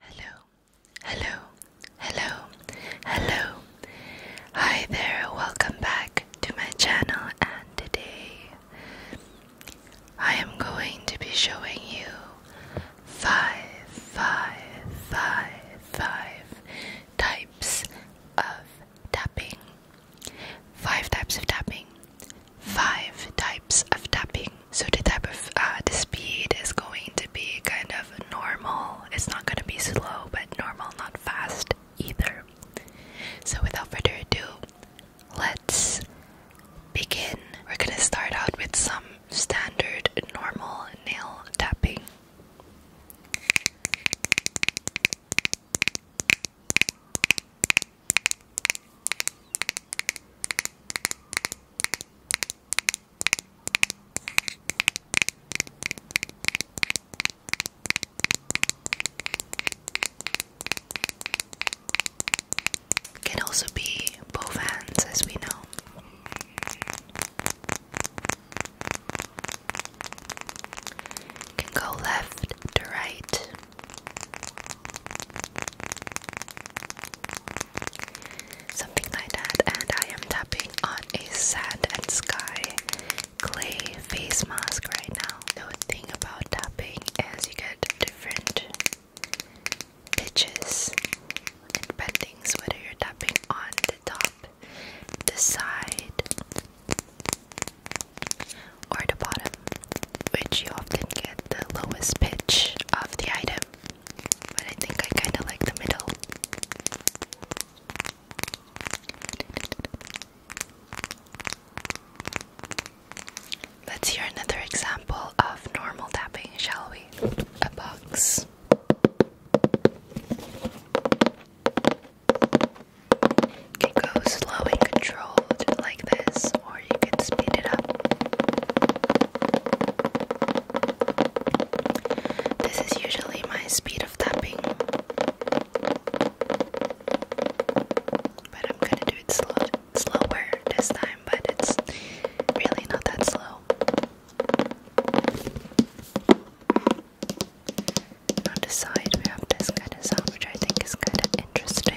Hello, hello, hello, hello. Hi there, welcome back to my channel. And today I am going to be showing you five, five, five, five types of tapping. Five types of tapping. Five types of tapping. So the type of uh, the speed is going to be kind of normal. It's not going to be slow, but normal, not fast either. So without further ado, let's begin. We're going to start out with some standard normal nail tapping. Can also be both hands, as we know. Can go left to right something like that. And I am tapping on a sand and sky clay face mask right now. The thing about tapping as you get different pitches and bendings, whether you're tapping on the top, the side, or the bottom, which you often get the lowest pitch of the item. But I think I kind of like the middle. Let's hear another example of normal tapping, shall we? A box. can go slow and controlled like this, this is usually my speed of tapping, but I'm gonna do it slow, slower this time, but it's really not that slow. On the side, we have this kind of sound, which I think is kind of interesting.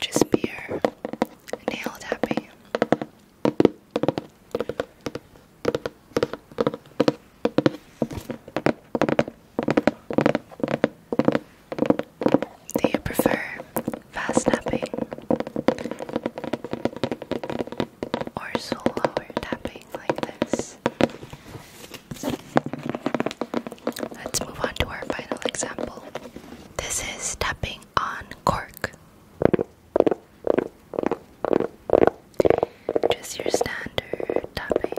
Just pure nail tapping. Do you prefer fast tapping or slower tapping like this? Let's move on to our final example. This is tapping on cork. Just your standard tapping.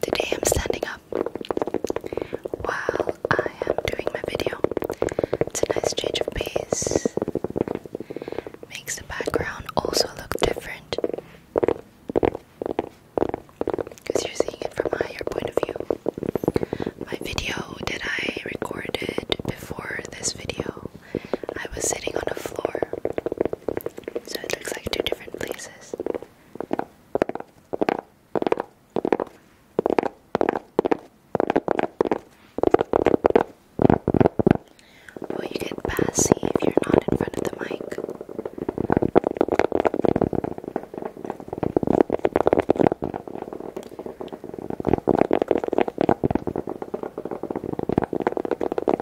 Today I'm standing up while I am doing my video. It's a nice change of pace. Makes the background also look different. Because you're seeing it from a higher point of view. My video that I recorded before this video, I was sitting on the floor so it looks like two different places. Well, you get bassy if you're not in front of the mic.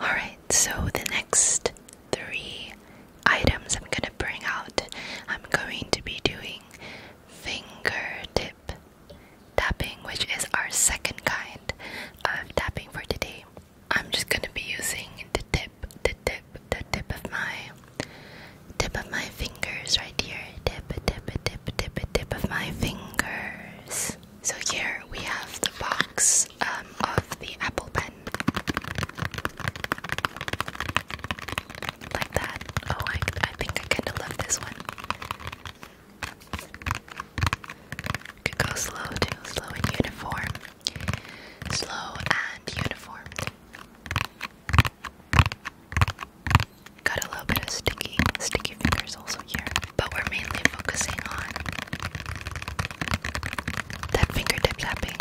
Alright, so the next three items I'm gonna bring out, I'm going to be doing fingertip tapping, which is our second kind of tapping for today. I'm just gonna be using the tip, the tip, the tip of my tip of my fingers right here. Tip, tip, tip, tip, tip of my fingers. So here we have the box um, of the Apple Pen. Like that. Oh, I, I think I kind love this one. Could go slow slow and uniform. Slow and uniform. Got a little bit of sticky, sticky fingers also here, but we're mainly focusing on that fingertip tapping.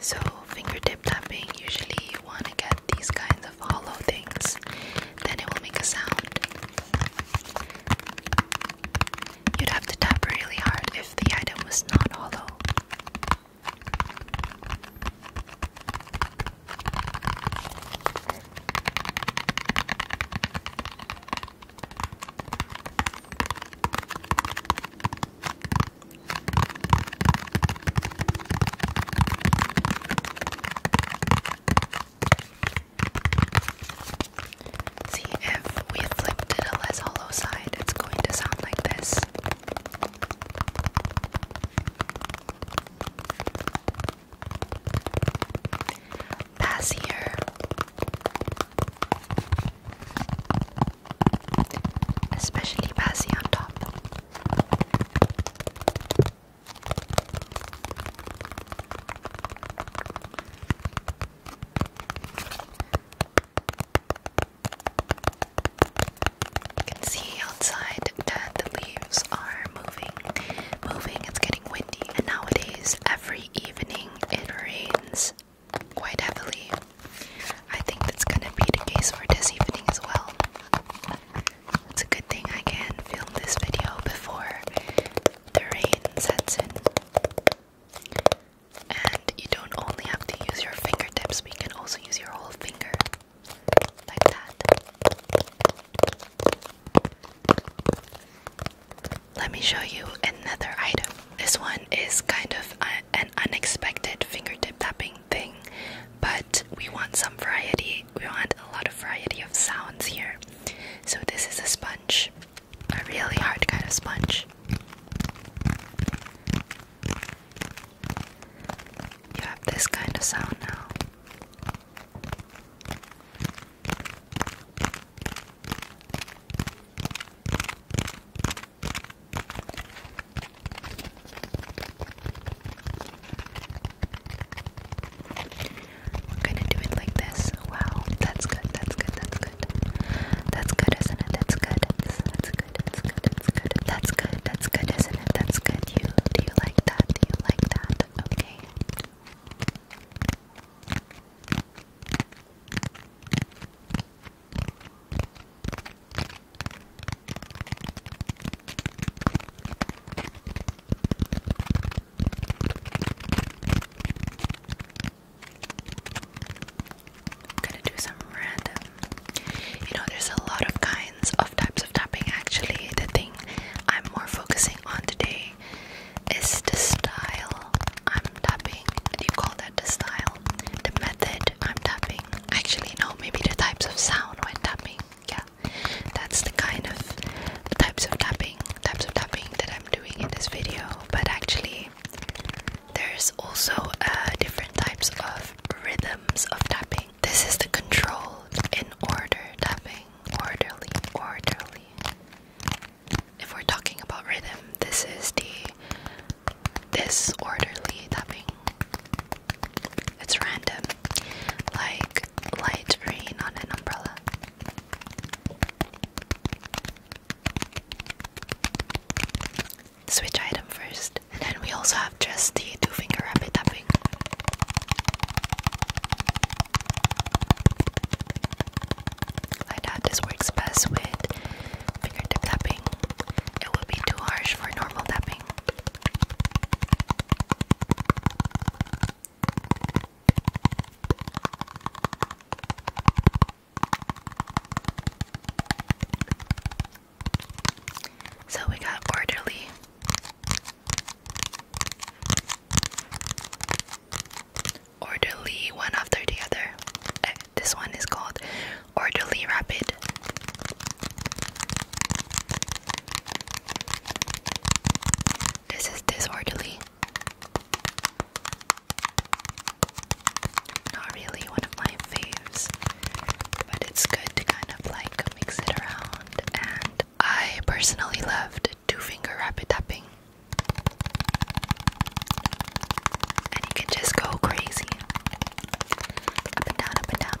So, fingertip tapping, usually you want to get these kinds of hollow things, then it will make a sound. You'd have to tap really hard if the item was not hollow. See, if we flipped it a less side, it's going to sound like this. Pass here. Especially bassy on top. You can see outside that the leaves are moving, moving. It's getting windy, and nowadays every evening it rains quite heavily. I think that's gonna be the case for this evening as well. It's a good thing I can film this video before the rain sets in. And you don't only have to use your fingertips, we can also use your whole finger. Like that. Let me show you another item. This one is kind of an unexpected fingertip tapping thing, but we want some variety. We want a lot of variety of sounds here. So, this is a sponge a really hard kind of sponge. You have this kind of sound now. We're gonna do it like this. Wow, that's good, that's good, that's good. That's good, isn't it? That's good. That's good, that's good, that's good, that's good. That's good, that's good, isn't it? That's good. You do you like that? Do you like that? Okay. I'm gonna do some random. You know, there's a lot of kinds of types of tapping actually. The thing I'm more focusing on today is the style I'm tapping. Do you call that the style? The method I'm tapping. Actually, no, maybe the types of sound when tapping. Yeah, that's the kind of types of tapping types of tapping that I'm doing in this video, but actually, there's also uh, different types of rhythms of tapping. This is the controlled in order tapping, orderly, orderly. If we're talking about rhythm, this is the disorderly tapping. It's random, like light rain on an umbrella. Switch item first, and then we also have just the two finger rapid tapping. Like that, this works best with fingertip tapping, it would be too harsh for normal tapping. So we got orderly. Orderly one after the other. Uh, this one is called Orderly Rapid. This is disorderly. Not really one of my faves, but it's good to kind of like mix it around. And I personally loved two finger rapid tapping, and you can just go crazy up and down, up and down.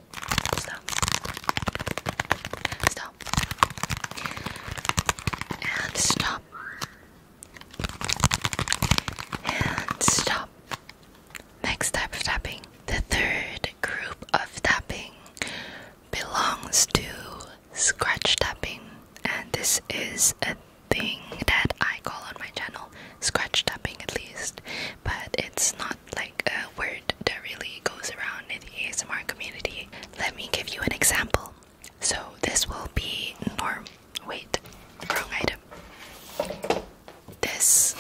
Stop. Stop. And stop. And stop. Next type of tapping. The third group of tapping belongs to scratch tapping. And this is a thing that I call on my channel. Scratch tapping, at least. But it's not like a uh, word that really goes around in the ASMR community. Let me give you an example. So this will be norm. Wait, wrong item. This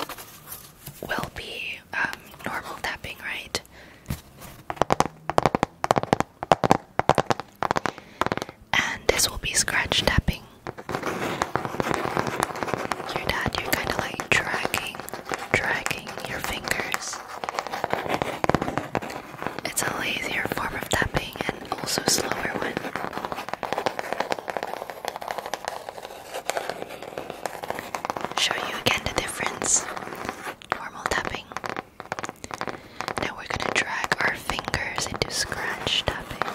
will be um, normal tapping, right? And this will be scratch tapping. Your dad, you're kind of like dragging dragging your fingers. It's a lazier form of tapping and also slower one. Show you again the difference. Normal tapping. Now we're gonna drag our fingers into scratch tapping.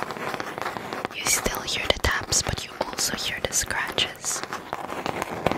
You still hear the taps, but you also hear the scratches.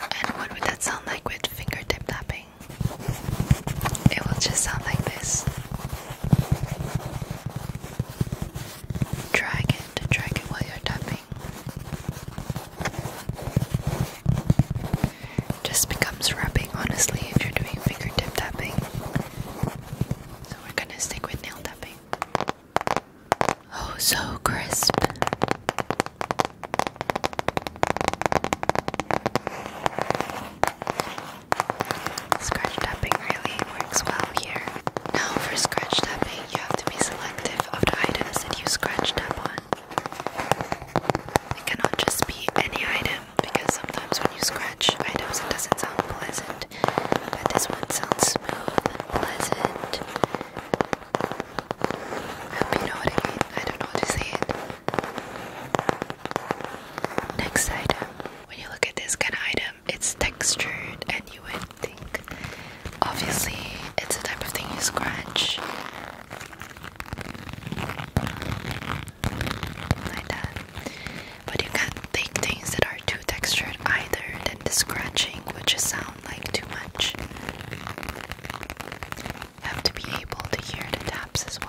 And what would that sound like with fingertip tapping? It will just sound like this. Drag it, drag it while you're tapping. Just becomes rubbing, honestly, if you're doing fingertip tapping. So we're gonna stick with nail tapping. Oh, so crisp. Scratch tapping really works well here. Now, for scratch tapping, you have to be selective of the items that you scratch tap on. It cannot just be any item because sometimes when you scratch items, it doesn't sound pleasant. But this one sounds smooth and pleasant. I don't know how to say Next item. When you look at this kind of item, it's textured, and you would think, obviously, it's the type of thing you scratch. Like that. But you can't take things that are too textured either, then the scratching would just sound like too much have to be able to hear the taps as well.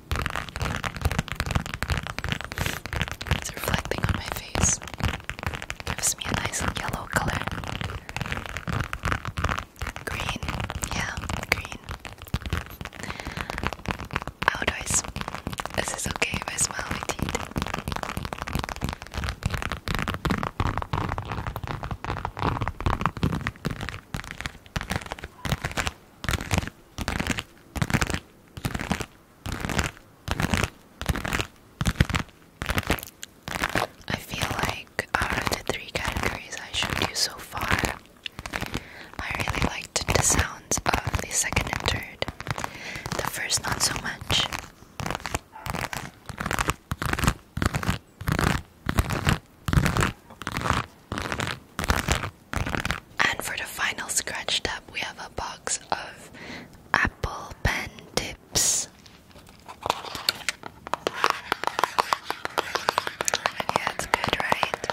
It's reflecting on my face. Gives me a nice yellow color. Green. Yeah, green. Outdoors. Oh, is this okay if smile my teeth? I feel like out of the three categories I showed you so far, I really liked the sounds of the second and third. The first, not so much. And for the final scratch tab, we have a box of apple pen tips. Yeah, it's good, right?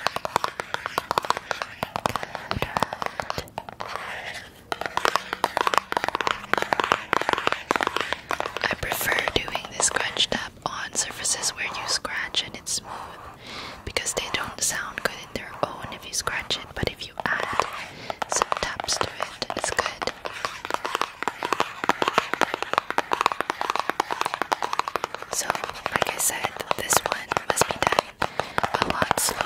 I prefer doing this scratch tab on surfaces where you scratch and it's smooth because they don't sound good in their own if you scratch it, but if you add some taps to it, it's good. So, like I said, this one must be done a lot slower.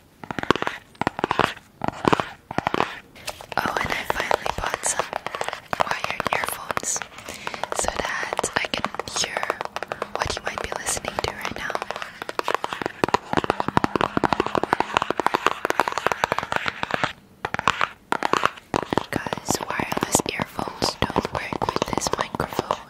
Oh, and I finally bought some wired earphones so that I can hear what you might be listening to right now. Because wireless earphones don't work with this microphone.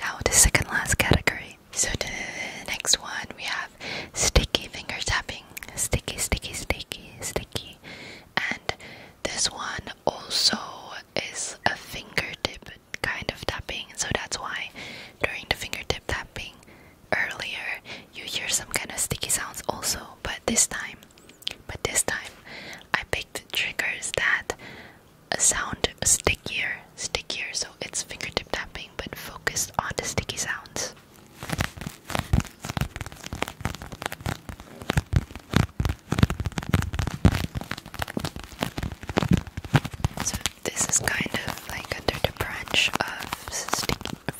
Now the second last category. So the next one we have sticky finger tapping. Sticky, sticky, sticky, sticky. And this one also is a fingertip kind of tapping, so that's why during the fingertip tapping earlier you hear some kind of sticky sounds also, but this time but this time I picked triggers that sound stickier, stickier, so it's fingertip tapping but focused on the sticky sounds. So this is kind of like under the branch of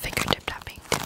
fingertip tapping too.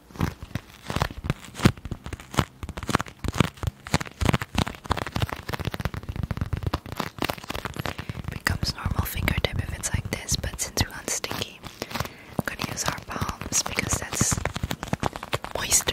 Becomes normal fingertip if it's like this, but since we want sticky, I'm gonna use our palms because that's moisture.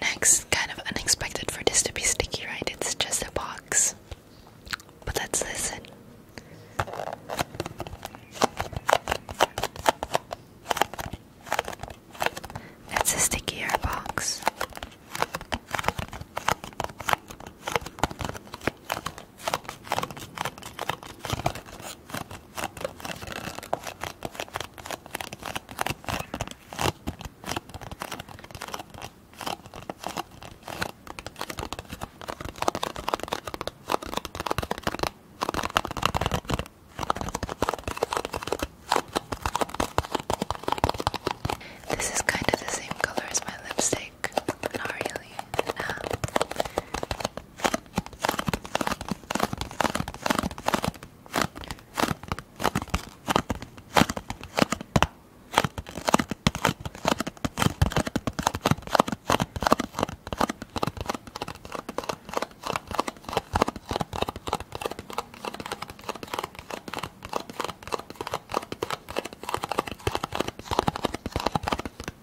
Next, kind of unexpected for this to be sticky, right? It's just a box. But let's listen. It's a stickier box. This is kind of the same color as my lipstick music. Not um,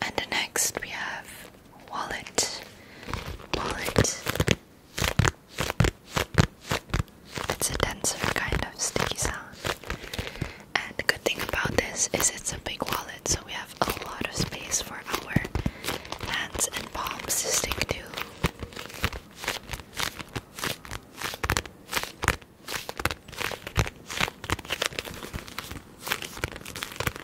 And next we have wallet, wallet, it's a denser kind of sticky sound. And the good thing about this is it's a big wallet, so we have a lot of space for our hands and palms to stick to.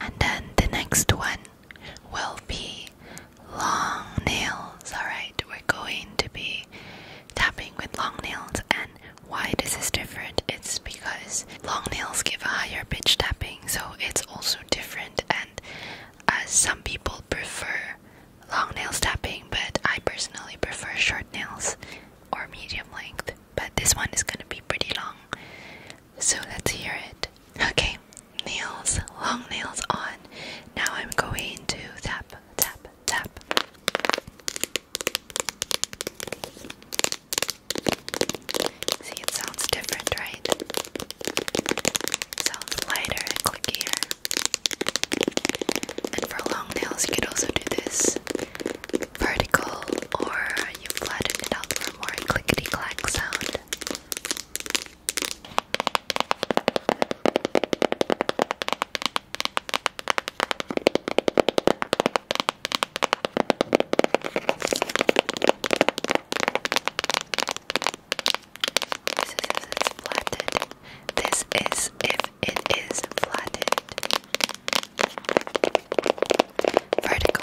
And then the next one will be long nails. Alright, we're going to be tapping with long nails. And why this is different? It's because long nails give a higher pitch tapping, so it's also different. And as uh, some people prefer long nail tapping, but I personally prefer short nails or medium length. But this one is gonna be pretty long, so let's hear it. Okay, nails, long nails on. Now I'm going to tap, tap, tap. See, it sounds different, right? Sounds lighter clickier. And for long nails, you could also do this vertical, or you flatten out for more clickety clack sound. This is if it's flatted. This is if it is flatted. Vertical.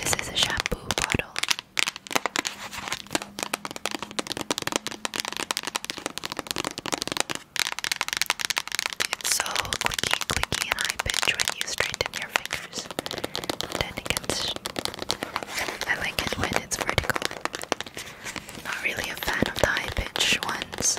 This is a shampoo bottle. It's so clicky, clicky, and high pitch when you straighten your fingers. Then it I like it when it's vertical. Not really a fan of the high pitch ones.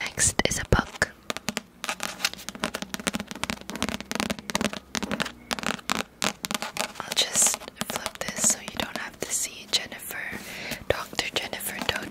Next is a book. I'll just flip this so you don't have to see Jennifer, Dr. Jennifer Doudna.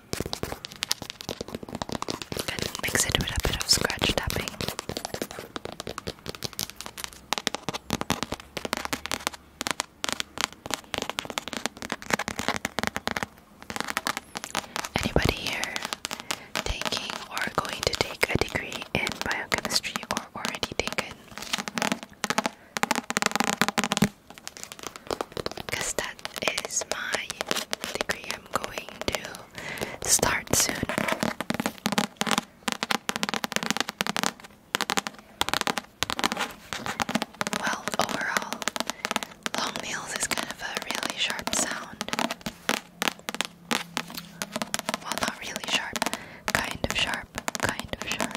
mix it with a bit of scratch tapping. Anybody here taking or going to take a degree in biochemistry or already taken? Because that is my degree I'm going to start soon. Well, overall, long nails is kind of a really sharp sound. Well, not really sharp, kind of sharp, kind of sharp.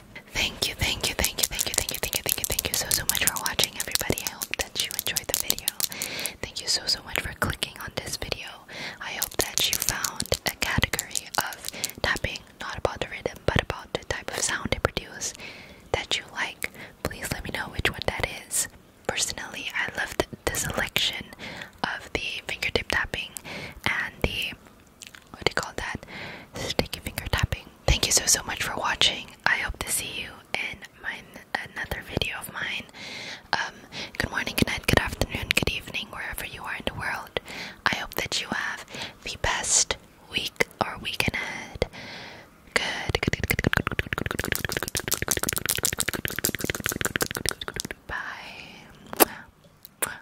Thank you, thank you, thank you, thank you, thank you, thank you, thank you, thank you so so much for watching everybody. I hope that you enjoyed the video. Thank you so so much for clicking on this video. I hope that you found a category of tapping, not about the rhythm, but about the type of sound it produces that you like. Please let me know which one that is. Personally, I loved the selection of the fingertip tapping and the what do you call that? Sticky finger tapping. Thank you so so much for watching. I hope to see you in my another video of mine. Um, good morning, good night, good afternoon, good evening, wherever you are in the world. I hope that you have the best week or weekend ahead. Good, good, good, good, good, good, good, good, good, good, good, good, good, good, good, Bye.